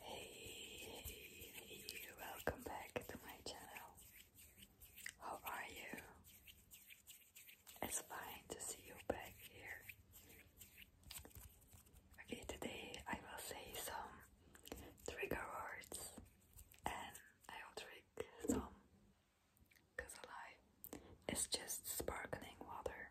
Hey, welcome back to my channel. How are you? It's fine to see you back here. Okay, today I will say some trigger words and I will drink some because It's just sparkling water.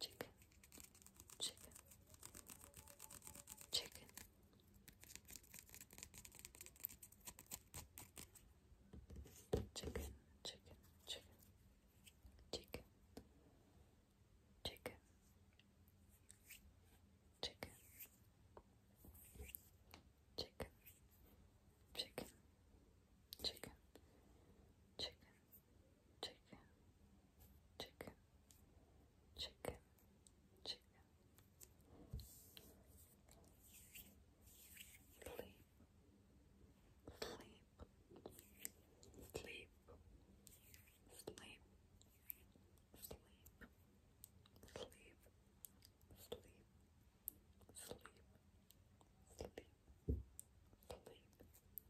chicken, chicken, chicken. Chicken, chicken, chicken, chicken, chicken, chicken, chicken, chicken, chicken, chicken, chicken, chicken, chicken, chicken. Sleep, sleep, sleep, sleep, sleep, sleep, sleep, sleep. Sleep, sleep,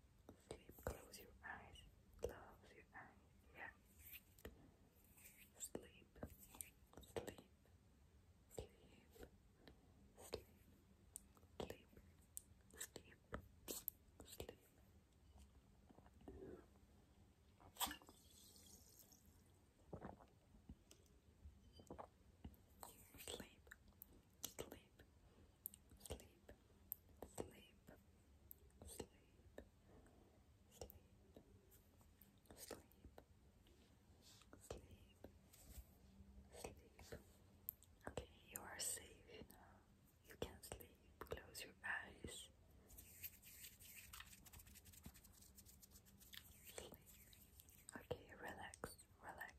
Sleep, close your eyes, close your eyes, yeah. Sleep, sleep, sleep, sleep, sleep, sleep, sleep. Sleep, sleep, sleep, sleep, sleep, sleep, sleep, sleep, sleep. Okay, you are safe now. You can sleep. Close your eyes. Sleep. Okay, relax, relax,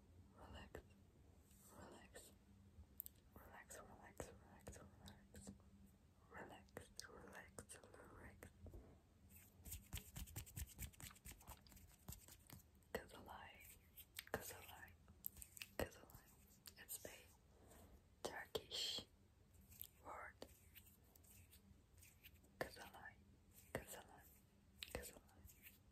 relax, relax, relax, relax, relax, relax, relax, relax, relax. Cause a lie, cause a lie, cause a lie. It's a Turkish word. Kazalay, kazalay, kazalay,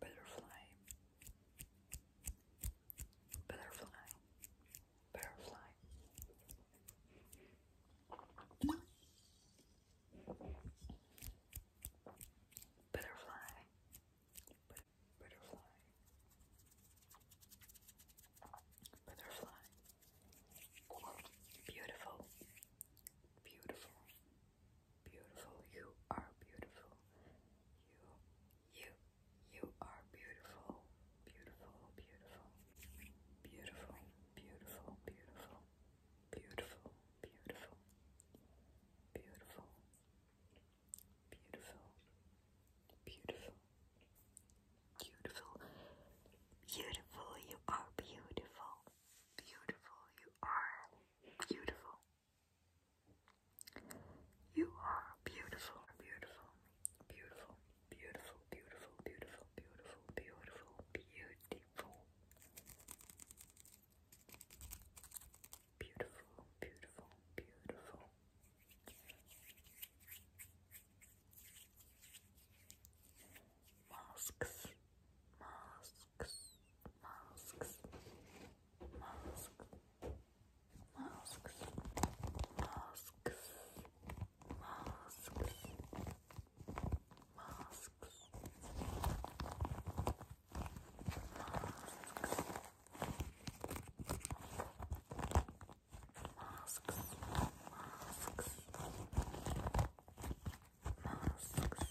butterfly, butterfly, butterfly. Butterfly, butterfly, butterfly, beautiful, beautiful, beautiful. You are beautiful. You, you, you are beautiful. Beautiful, beautiful. Beautiful, beautiful, beautiful. Beautiful, beautiful. Beautiful. Beautiful. Beautiful. Beautiful. Beautiful, you are beautiful. Beautiful, you are beautiful. You are beautiful, beautiful, beautiful, beautiful, beautiful, beautiful, beautiful, beautiful, beautiful. Beautiful, beautiful, beautiful. Masks, masks, masks, masks, masks, masks, masks, masks, masks. Masks, masks,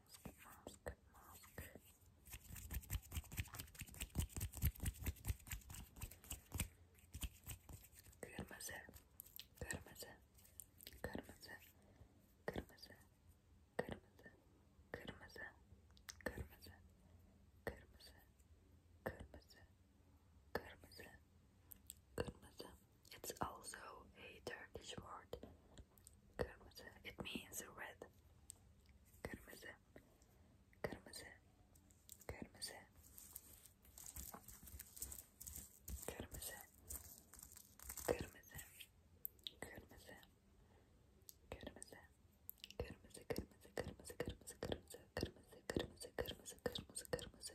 mask, mask, mask. Kırmızı, kırmızı, kırmızı, kırmızı, kırmızı, kırmızı, kırmızı, kırmızı, kırmızı, kırmızı, kırmızı. It's also a Turkish word. Kırmızı. It means red. Kırmızı. Kırmızı. Kırmızı. Kırmızı. Kırmızı. Kırmızı. Kırmızı. Kırmızı, kırmızı, kırmızı, kırmızı, kırmızı, kırmızı, kırmızı,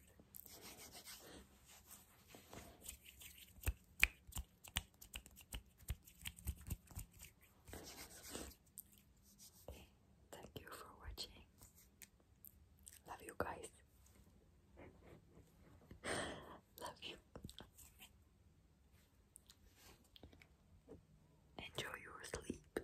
Okay, thank you for watching. Love you guys. Love you. Enjoy your sleep.